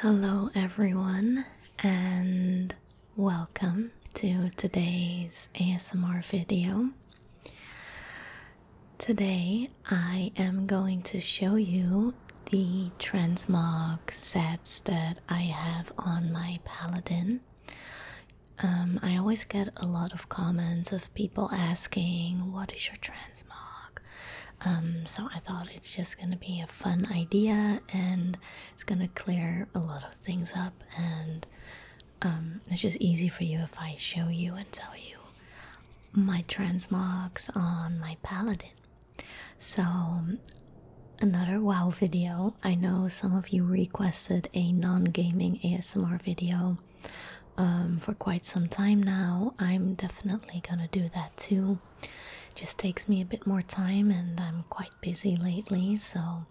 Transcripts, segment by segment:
Hello, everyone, and welcome to today's ASMR video. Today, I am going to show you the transmog sets that I have on my paladin um, I always get a lot of comments of people asking, What is your transmog? Um, so I thought it's just gonna be a fun idea and it's gonna clear a lot of things up, and um, it's just easy for you if I show you and tell you my transmogs on my paladin. So, another wow video. I know some of you requested a non gaming ASMR video. Um, for quite some time now. I'm definitely gonna do that too. just takes me a bit more time, and I'm quite busy lately, so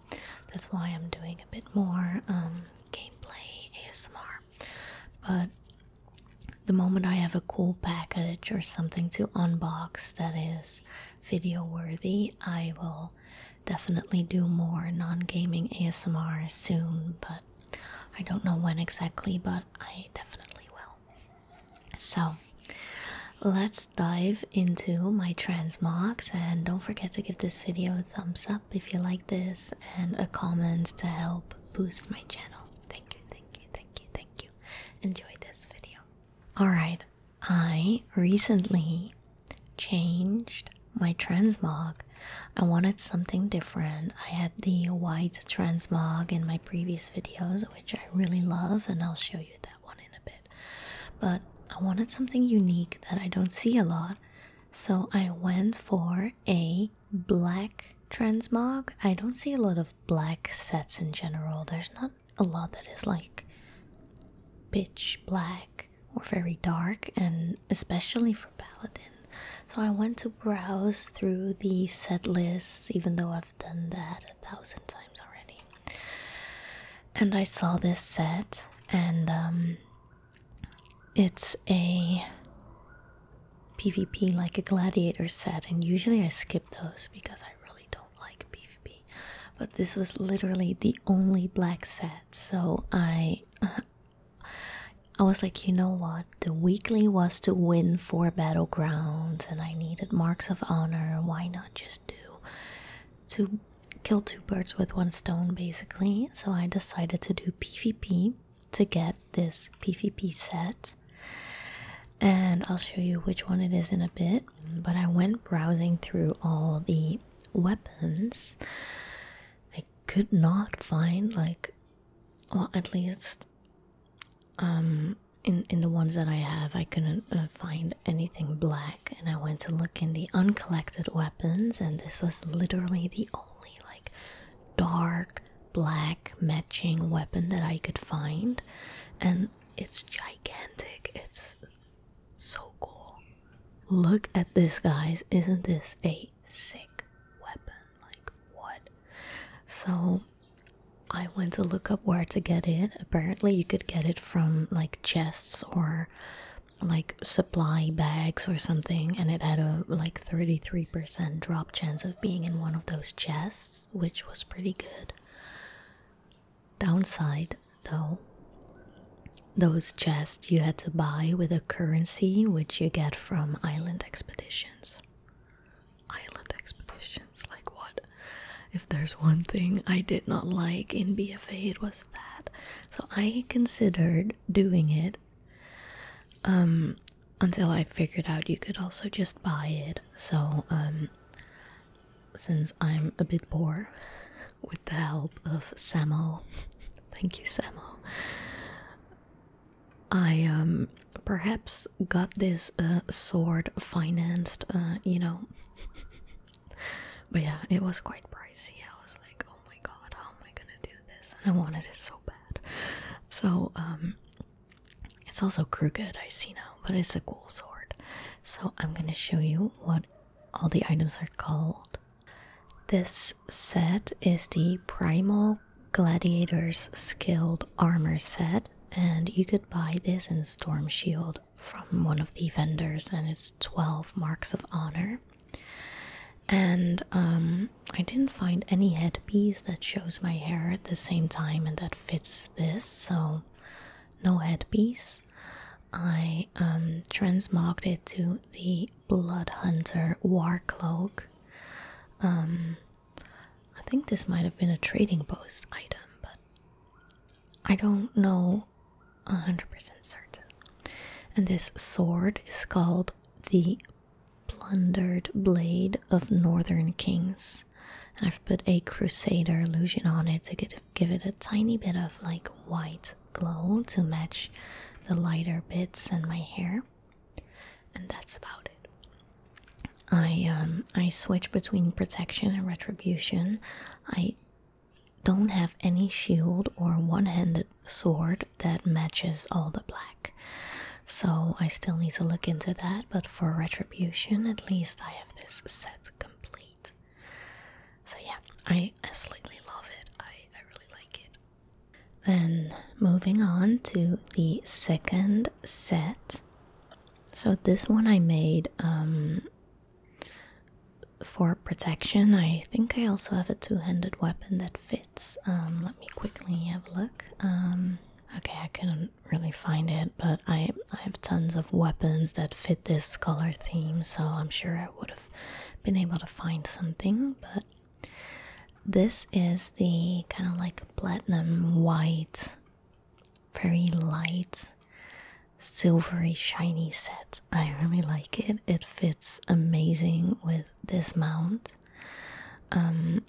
that's why I'm doing a bit more um, gameplay ASMR. But the moment I have a cool package or something to unbox that is video worthy, I will definitely do more non gaming ASMR soon, but I don't know when exactly, but I definitely will. So let's dive into my transmogs and don't forget to give this video a thumbs up if you like this and a comment to help boost my channel. Thank you, thank you, thank you, thank you. Enjoy this video. Alright, I recently changed my transmog. I wanted something different. I had the white transmog in my previous videos, which I really love, and I'll show you that one in a bit. But I wanted something unique that I don't see a lot, so I went for a black transmog. I don't see a lot of black sets in general. There's not a lot that is like pitch black or very dark, and especially for Paladin. So I went to browse through the set lists, even though I've done that a thousand times already. And I saw this set, and um, it's a PvP like a gladiator set, and usually I skip those because I really don't like PvP. But this was literally the only black set, so I I was like, you know what? The weekly was to win four battlegrounds, and I needed marks of honor. Why not just do to kill two birds with one stone, basically? So I decided to do PvP to get this PvP set, and I'll show you which one it is in a bit. But I went browsing through all the weapons. I could not find like well at least um in in the ones that I have I couldn't uh, find anything black and I went to look in the uncollected weapons and this was literally the only like dark black matching weapon that I could find and it's gigantic it's so cool Look at this, guys. Isn't this a sick weapon? Like, what? So, I went to look up where to get it. Apparently, you could get it from like chests or like supply bags or something, and it had a like 33% drop chance of being in one of those chests, which was pretty good. Downside though. Those chests you had to buy with a currency which you get from island expeditions. Island expeditions, like what? If there's one thing I did not like in BFA, it was that. So I considered doing it um, until I figured out you could also just buy it. So, um, since I'm a bit poor, with the help of Samo. Thank you, Samo. I um perhaps got this uh, sword financed, uh, you know. but yeah, it was quite pricey. I was like, oh my god, how am I gonna do this? And I wanted it so bad. So um it's also crooked, I see now, but it's a cool sword. So I'm gonna show you what all the items are called. This set is the Primal Gladiator's Skilled Armor set, and you could buy this in Storm Shield from one of the vendors, and it's 12 marks of honor. And um, I didn't find any headpiece that shows my hair at the same time and that fits this, so no headpiece. I um, transmogged it to the Blood Hunter War Cloak. Um, I think this might have been a trading post item, but I don't know 100% certain. And this sword is called the Plundered Blade of Northern Kings. I've put a Crusader illusion on it to get give it a tiny bit of like white glow to match the lighter bits in my hair and that's about it i um i switch between protection and retribution i don't have any shield or one-handed sword that matches all the black so i still need to look into that but for retribution at least i have this set complete so yeah, I absolutely love it. I, I really like it. Then moving on to the second set. So this one I made um, for protection. I think I also have a two-handed weapon that fits. Um, let me quickly have a look. Um, okay, I couldn't really find it, but I I have tons of weapons that fit this color theme, so I'm sure I would have been able to find something, but this is the kind of like platinum white, very light, silvery, shiny set. I really like it. It fits amazing with this mount. Um,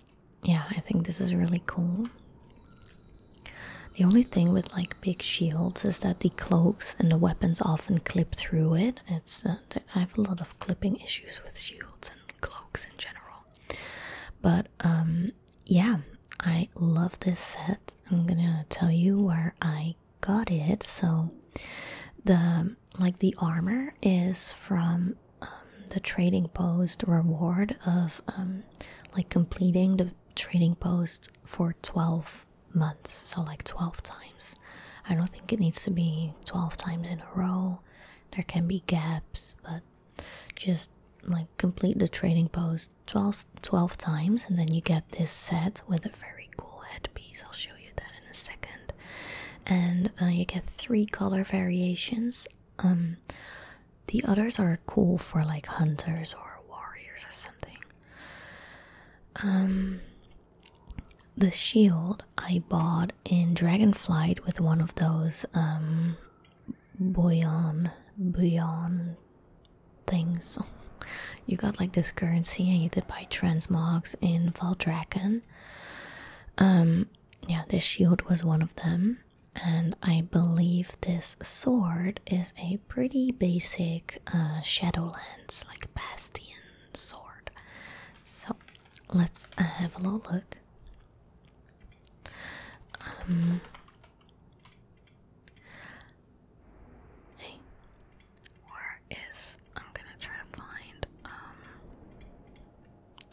yeah, I think this is really cool. The only thing with like big shields is that the cloaks and the weapons often clip through it. It's uh, I have a lot of clipping issues with shields and cloaks in general. But um, yeah, I love this set. I'm gonna tell you where I got it. So the like the armor is from um, the trading post reward of um, like completing the trading post for 12 months, so like 12 times. I don't think it needs to be 12 times in a row. There can be gaps, but just like complete the training post 12, times and then you get this set with a very cool headpiece. I'll show you that in a second. And uh, you get three color variations. Um, the others are cool for like hunters or warriors or something. Um, the shield I bought in Dragonflight with one of those um, bullion, things. you got like this currency, and you could buy transmogs in Valdraken. Um, yeah, this shield was one of them, and I believe this sword is a pretty basic uh, Shadowlands, like Bastion sword. So let's uh, have a little look. Um, where is. I'm gonna try to find. Um,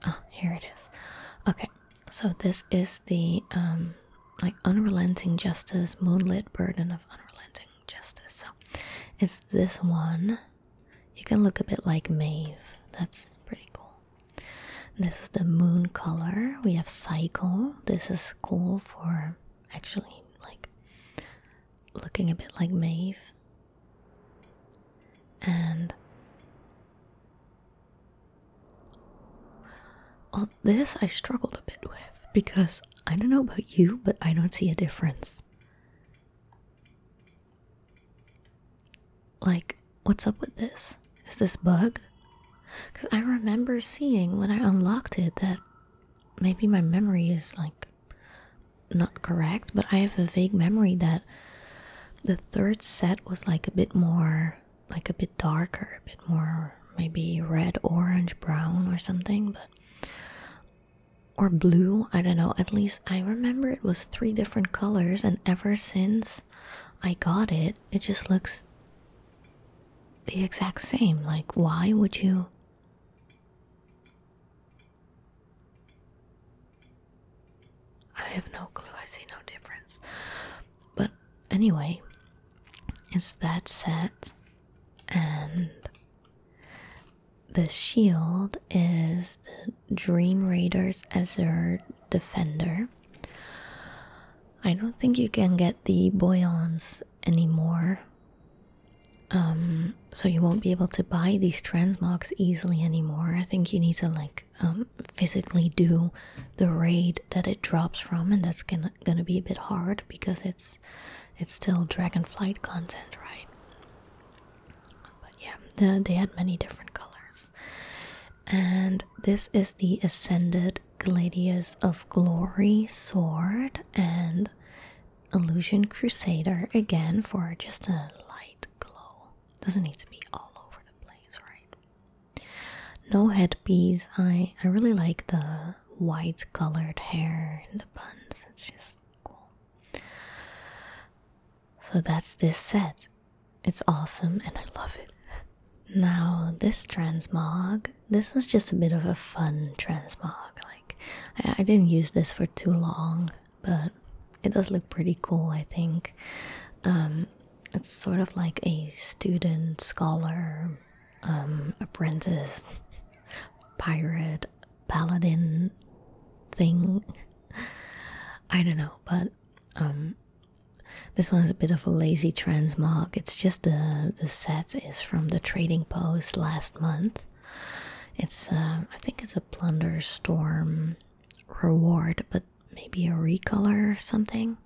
oh, here it is. Okay, so this is the. Um, like unrelenting justice, moonlit burden of unrelenting justice. So it's this one. You can look a bit like Maeve. That's pretty cool. This is the moon color. We have cycle. This is cool for actually like looking a bit like Maeve. And this I struggled a bit with because I don't know about you, but I don't see a difference. Like, what's up with this? Is this bug? Because I remember seeing when I unlocked it that maybe my memory is like not correct, but I have a vague memory that the third set was like a bit more, like a bit darker, a bit more maybe red, orange, brown, or something, but or blue. I don't know. At least I remember it was three different colors, and ever since I got it, it just looks the exact same. Like, why would you? I have no clue. I see no difference. But anyway, it's that set and the shield is Dream Raiders Azure Defender. I don't think you can get the Boyons anymore. Um, so you won't be able to buy these transmogs easily anymore. I think you need to like um, physically do the raid that it drops from, and that's gonna gonna be a bit hard because it's it's still dragonflight content, right? But yeah, they had many different colors. And this is the Ascended Gladius of Glory sword and Illusion Crusader again for just a light glow. Doesn't need to be all over the place, right? No headpiece. I I really like the white colored hair in the buns. It's just cool. So that's this set. It's awesome and I love it. Now, this transmog, this was just a bit of a fun transmog. Like, I, didn't use this for too long, but it does look pretty cool, I think. Um, it's sort of like a student scholar um, apprentice, pirate, paladin thing. I don't know, but um, this one's a bit of a lazy transmog. It's just the the set is from the trading post last month. It's uh, I think it's a Blunderstorm reward, but maybe a recolor or something.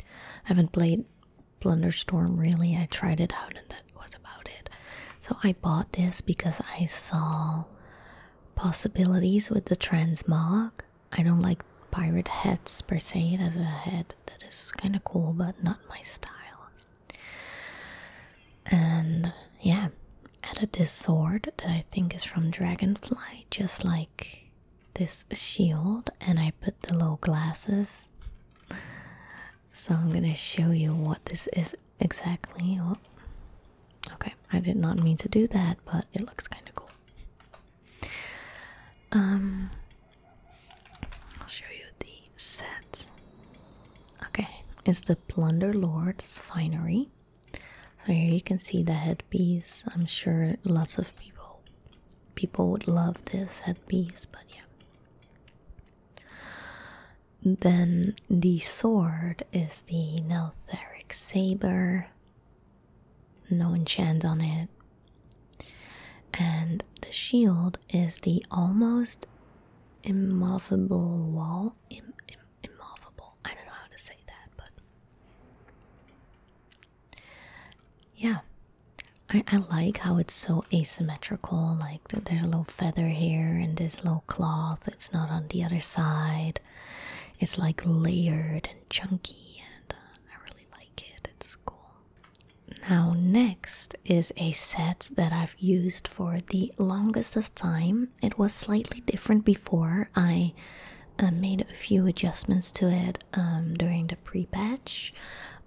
I haven't played Blunderstorm really. I tried it out and that was about it. So I bought this because I saw possibilities with the transmog. I don't like pirate heads per se. It has a head that is kind of cool, but not my style. And yeah, added this sword that I think is from Dragonfly, just like this shield and I put the little glasses. So I'm gonna show you what this is exactly. Oh, okay, I did not mean to do that, but it looks kind of cool. Um, I'll show you the set. Okay, it's the Plunder Lord's Finery. So here you can see the headpiece. I'm sure lots of people people would love this headpiece, but yeah. Then the sword is the Neltheric Saber, no enchant on it. And the shield is the almost immovable wall. Im Im immovable. I don't know how to say that, but yeah I, I like how it's so asymmetrical like there's a little feather here and this little cloth it's not on the other side it's like layered and chunky and uh, i really like it it's cool now next is a set that i've used for the longest of time it was slightly different before i uh, made a few adjustments to it um, during the pre-patch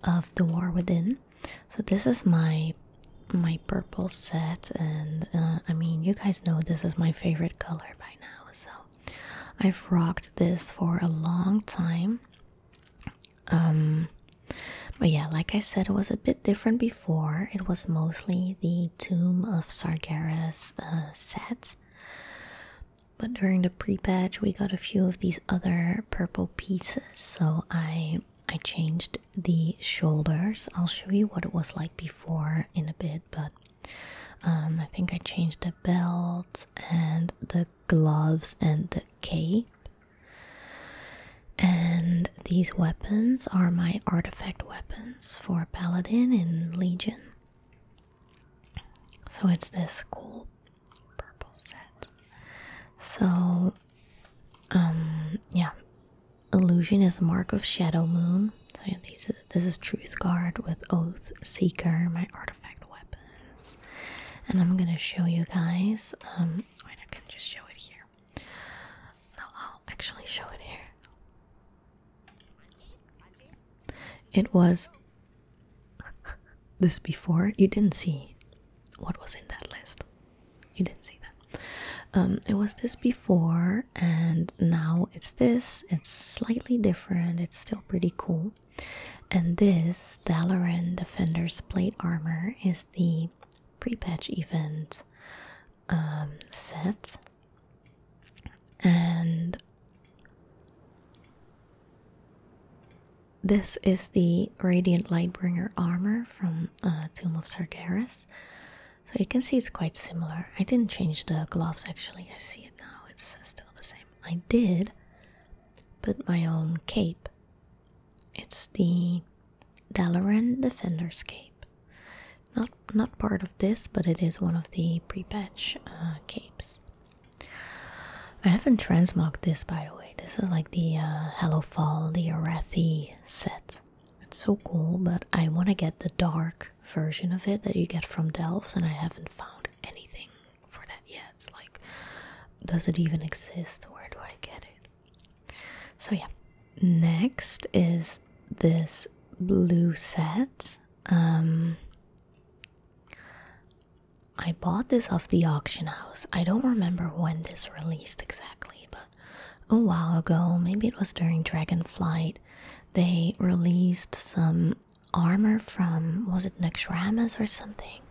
of the War Within. So this is my my purple set, and uh, I mean you guys know this is my favorite color by now. So I've rocked this for a long time. Um, but yeah, like I said, it was a bit different before. It was mostly the Tomb of Sargeras uh, set but during the pre-patch we got a few of these other purple pieces so i i changed the shoulders i'll show you what it was like before in a bit but um, i think i changed the belt and the gloves and the cape and these weapons are my artifact weapons for paladin in legion so it's this cool purple set. So, um, yeah, illusion is a mark of Shadow Moon. So yeah, this is Truth Guard with Oath Seeker, my artifact weapons, and I'm gonna show you guys. Um, wait, I can just show it here. No, I'll actually show it here. It was this before, you didn't see what was in that list. You didn't see that. Um, it was this before, and now it's this. It's slightly different. It's still pretty cool. And this Dalaran Defender's Plate Armor is the pre-patch event um, set. And this is the Radiant Lightbringer armor from uh, Tomb of Sargeras. So you can see it's quite similar. I didn't change the gloves actually, I see it now, it's uh, still the same. I did put my own cape. It's the Dalaran Defender's Cape. Not, not part of this, but it is one of the pre-patch uh, capes. I haven't transmogged this by the way. This is like the uh, Hello Fall, the Arathi set. It's so cool, but I want to get the dark version of it that you get from Delves, and I haven't found anything for that yet. like, does it even exist? Where do I get it? So, yeah. Next is this blue set. Um, I bought this off the auction house. I don't remember when this released exactly, but a while ago, maybe it was during Dragonflight, they released some armor from was it Naxxramas or something?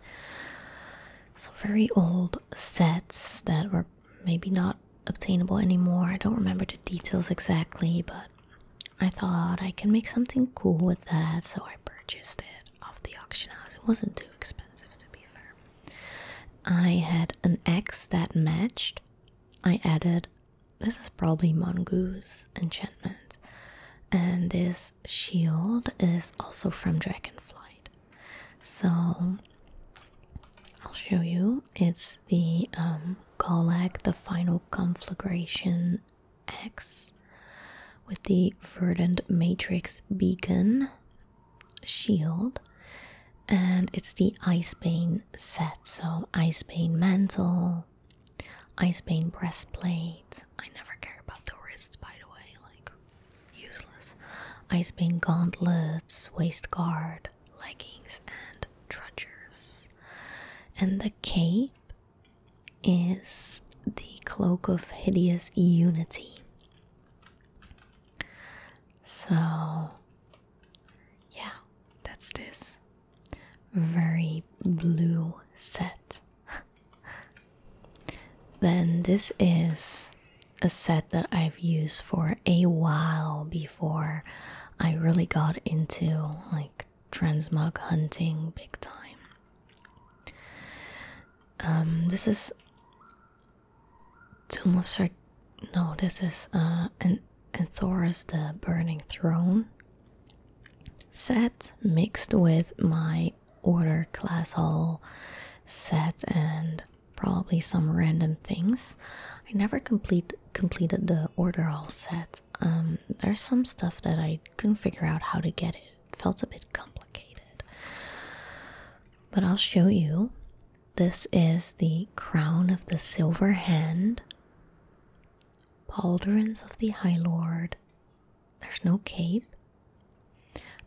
Some very old sets that were maybe not obtainable anymore. I don't remember the details exactly, but I thought I can make something cool with that, so I purchased it off the auction house. It wasn't too expensive, to be fair. I had an X that matched. I added this is probably Mongoose enchantment, and this shield is also from Dragonflight. So I'll show you. It's the um, Golak, the final conflagration X with the Verdant Matrix Beacon shield, and it's the Icebane set. So, Icebane mantle, Icebane breastplate. I never care about the wrists, by the way, like useless. Icebane gauntlets, waist guard, leggings, and trudgers. And the cape is the Cloak of Hideous Unity. So, yeah, that's this very blue set. then, this is a set that I've used for a while before I really got into like transmog hunting big time. Um, this is Tomb of Sir. No, this is and uh, an Anthoris the Burning Throne set mixed with my Order Class Hall set and probably some random things. I never complete completed the Order Hall set. Um, there's some stuff that I couldn't figure out how to get it. felt a bit complicated. But I'll show you. This is the crown of the silver hand, pauldrons of the High Lord. There's no cape.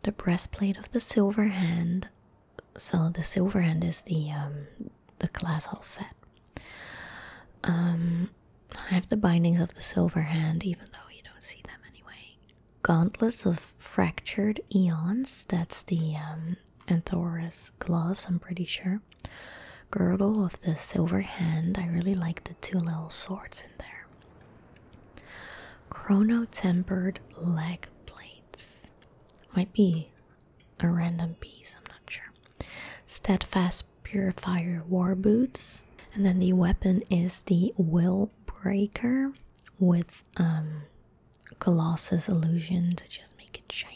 The breastplate of the silver hand. So the silver hand is the um, the glass all set. Um I have the bindings of the silver hand, even though you don't see them anyway. Gauntlets of fractured eons, that's the um, gloves, I'm pretty sure. Girdle of the silver hand, I really like the two little swords in there. Chrono tempered leg plates, might be a random piece, I'm not sure. Steadfast Purifier War Boots. And then the weapon is the Will Breaker with um, Colossus Illusion to just make it shiny.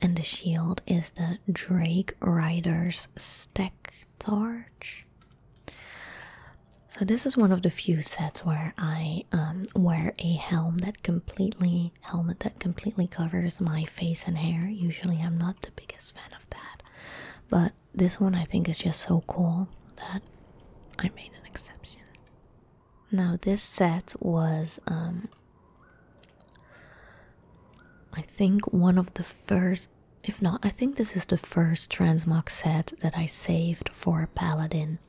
And the shield is the Drake Rider's Stack Torch. So this is one of the few sets where I um, wear a helm that completely helmet that completely covers my face and hair. Usually, I'm not the biggest fan of that, but this one I think is just so cool that I made an exception. Now, this set was, um, I think, one of the first. If not, I think this is the first transmog set that I saved for a paladin.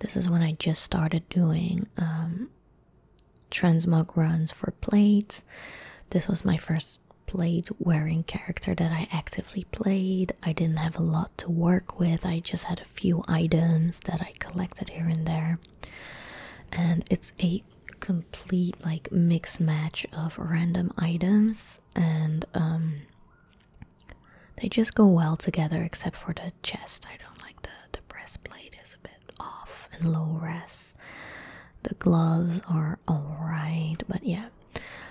This is when I just started doing um, transmog runs for plates. This was my first plate wearing character that I actively played. I didn't have a lot to work with, I just had a few items that I collected here and there. And it's a complete like mix match of random items and um they just go well together except for the chest. I don't like the the breastplate is a bit off and low res. The gloves are alright, but yeah.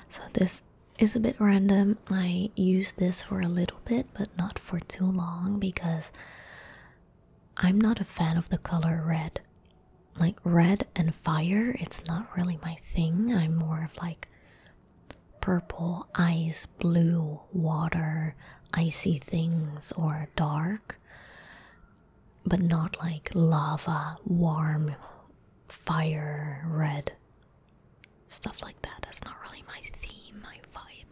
So this is a bit random. I use this for a little bit, but not for too long because I'm not a fan of the color red. Like red and fire, it's not really my thing. I'm more of like purple, ice, blue, water, icy things, or dark but not like lava, warm, fire, red. Stuff like that. That's not really my theme, my vibe.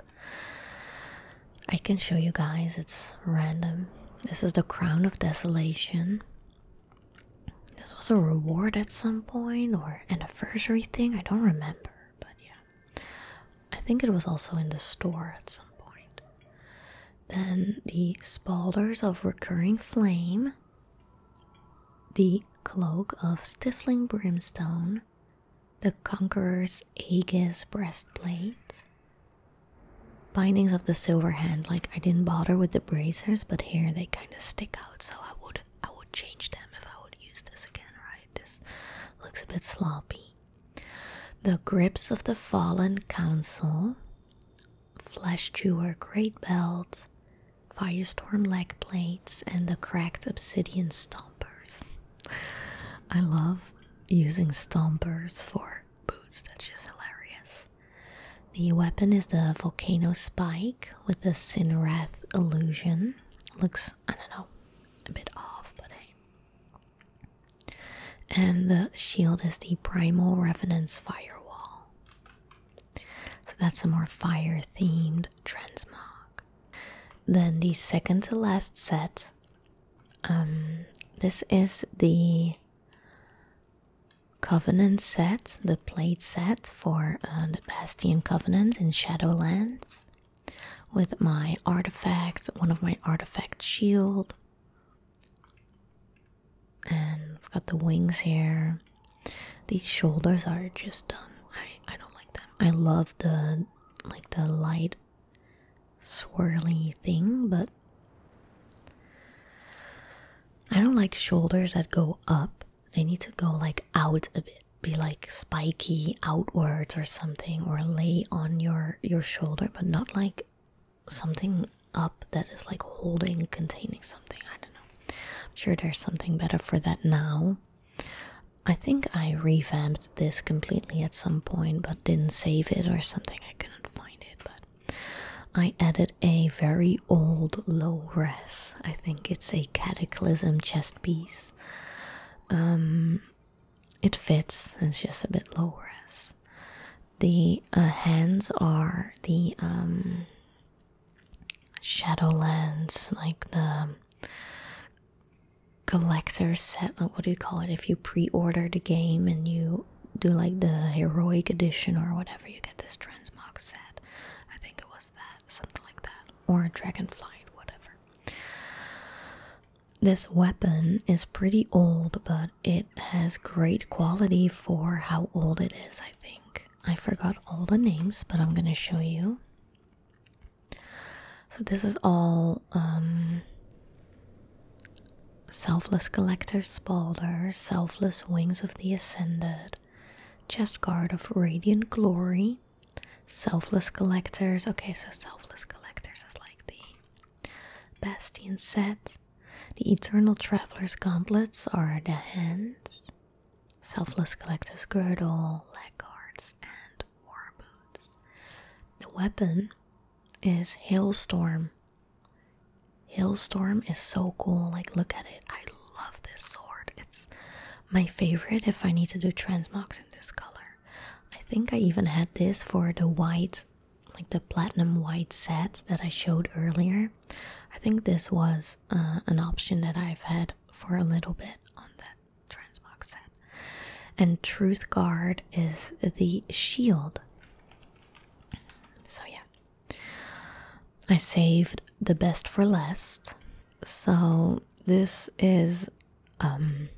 I can show you guys, it's random. This is the Crown of Desolation. This was a reward at some point or anniversary thing, I don't remember, but yeah. I think it was also in the store at some point. Then the Spalders of Recurring Flame, the Cloak of Stifling Brimstone, the Conqueror's Aegis Breastplate, Bindings of the Silver Hand. Like I didn't bother with the bracers, but here they kind of stick out, so I would I would change them if I would use this again, right? This looks a bit sloppy. The grips of the fallen council, flesh chewer great belt, firestorm leg plates, and the cracked obsidian stompers. I love using stompers for boots, that's hilarious. The weapon is the volcano spike with the Cinerath illusion. Looks, I don't know, a bit off, but hey. And the shield is the Primal Revenant's Firewall. So that's a more fire themed transmog. Then the second to last set. Um, this is the Covenant set, the plate set for uh, the Bastion Covenant in Shadowlands with my artifacts, one of my artifact shield. And I've got the wings here. These shoulders are just done. I I don't like them. I love the like the light swirly thing, but I don't like shoulders that go up. They need to go like out a bit. Be like spiky outwards or something or lay on your your shoulder but not like something up that is like holding, containing something. I don't know. I'm sure there's something better for that now. I think I revamped this completely at some point, but didn't save it or something. I couldn't find it, but I added a very old low res. I think it's a Cataclysm chest piece. Um, it fits it's just a bit lower as the uh, hands are the um, shadowlands like the collector set uh, what do you call it if you pre-order the game and you do like the heroic edition or whatever you get this transmog set i think it was that something like that or Dragonflight, whatever this weapon is pretty old, but it has great quality for how old it is, I think. I forgot all the names, but I'm gonna show you. So, this is all um, Selfless collectors, Balder, Selfless Wings of the Ascended, Chest Guard of Radiant Glory, Selfless Collectors. Okay, so Selfless Collectors is like the Bastion said, The Eternal Traveler's gauntlets are the hands, Selfless Collector's girdle, leg guards, and war boots. The weapon is Hailstorm. Hailstorm is so cool. Like, look at it. I love this sword. It's my favorite if I need to do transmogs in this color. I think I even had this for the white, like the platinum white set that I showed earlier. I think this was uh, an option that I've had for a little bit on that transmog set. And Truth Guard is the shield. So, yeah. I saved the best for last. So, this is um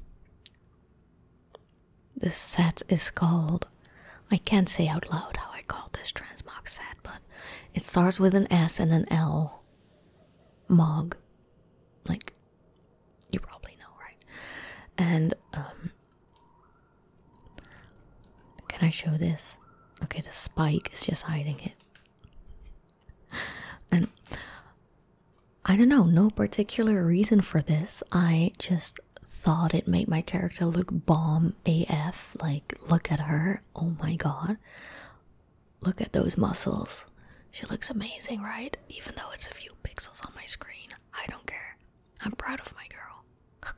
this set is called. I can't say out loud how I call this transmog set, but it starts with an S and an L. Mog. Like, you probably know, right? And, um. Can I show this? Okay, the spike is just hiding it. And I don't know, no particular reason for this. I just thought it made my character look bomb AF. Like, look at her. Oh my god. Look at those muscles. She looks amazing, right? Even though it's a few pixels on my screen. I don't care. I'm proud of my girl.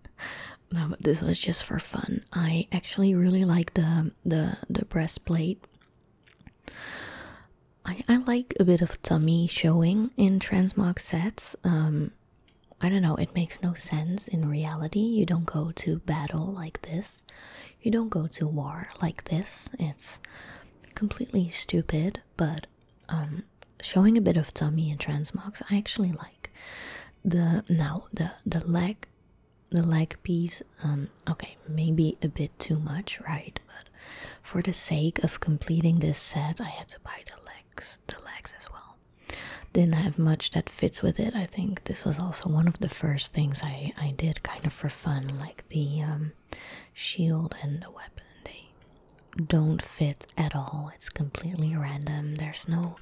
no, but this was just for fun. I actually really like the the the breastplate. I, like a bit of tummy showing in transmog sets. Um, I don't know, it makes no sense in reality. You don't go to battle like this, you don't go to war like this. It's completely stupid, but um, showing a bit of tummy in transmogs I actually like. The now the the leg the leg piece um, okay, maybe a bit too much, right? But for the sake of completing this set, I had to buy the legs, the legs as well. Didn't have much that fits with it. I think this was also one of the first things I I did kind of for fun, like the um, shield and the weapon. They don't fit at all. It's completely random. There's no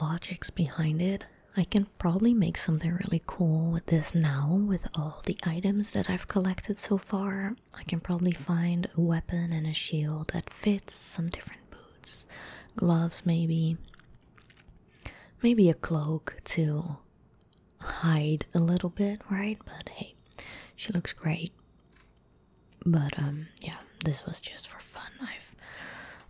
logics behind it. I can probably make something really cool with this now, with all the items that I've collected so far. I can probably find a weapon and a shield that fits, some different boots, gloves maybe, maybe a cloak to hide a little bit, right? But hey, she looks great. But um, yeah, this was just for fun. I've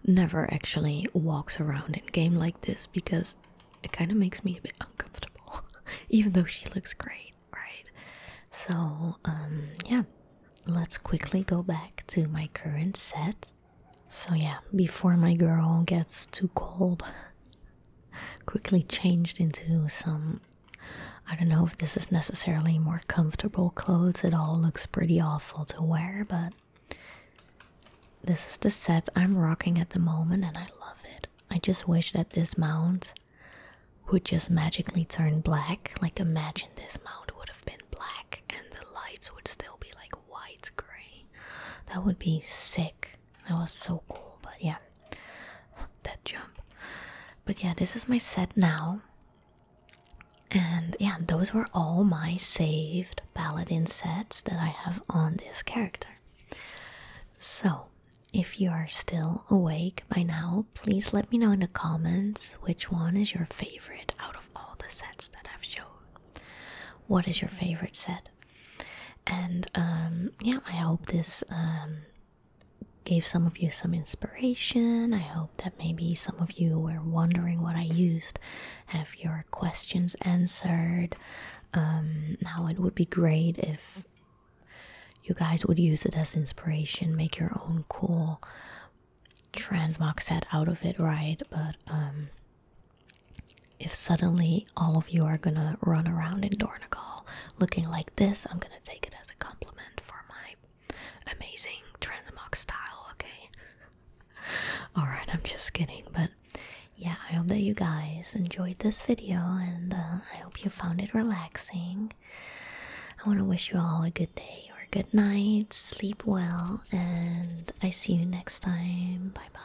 never actually walked around in game like this because it kind of makes me a bit uncomfortable, even though she looks great, right? So, um, yeah, let's quickly go back to my current set. So, yeah, before my girl gets too cold, quickly changed into some. I don't know if this is necessarily more comfortable clothes, it all looks pretty awful to wear, but this is the set I'm rocking at the moment and I love it. I just wish that this mount would just magically turn black. Like imagine this mount would have been black and the lights would still be like white gray. That would be sick. That was so cool, but yeah. That jump. But yeah, this is my set now. And yeah, those were all my saved paladin sets that I have on this character. So, if you are still awake by now, please let me know in the comments which one is your favorite out of all the sets that I've shown. What is your favorite set? And um, yeah, I hope this um, gave some of you some inspiration. I hope that maybe some of you were wondering what I used, have your questions answered. Um, now it would be great if you guys would use it as inspiration, make your own cool transmog set out of it, right? But um, if suddenly all of you are gonna run around in Dornigal looking like this, I'm gonna take it as a compliment for my amazing transmog style, okay? Alright, I'm just kidding, but yeah, I hope that you guys enjoyed this video and uh, I hope you found it relaxing. I want to wish you all a good day or good night, sleep well, and I see you next time. Bye bye.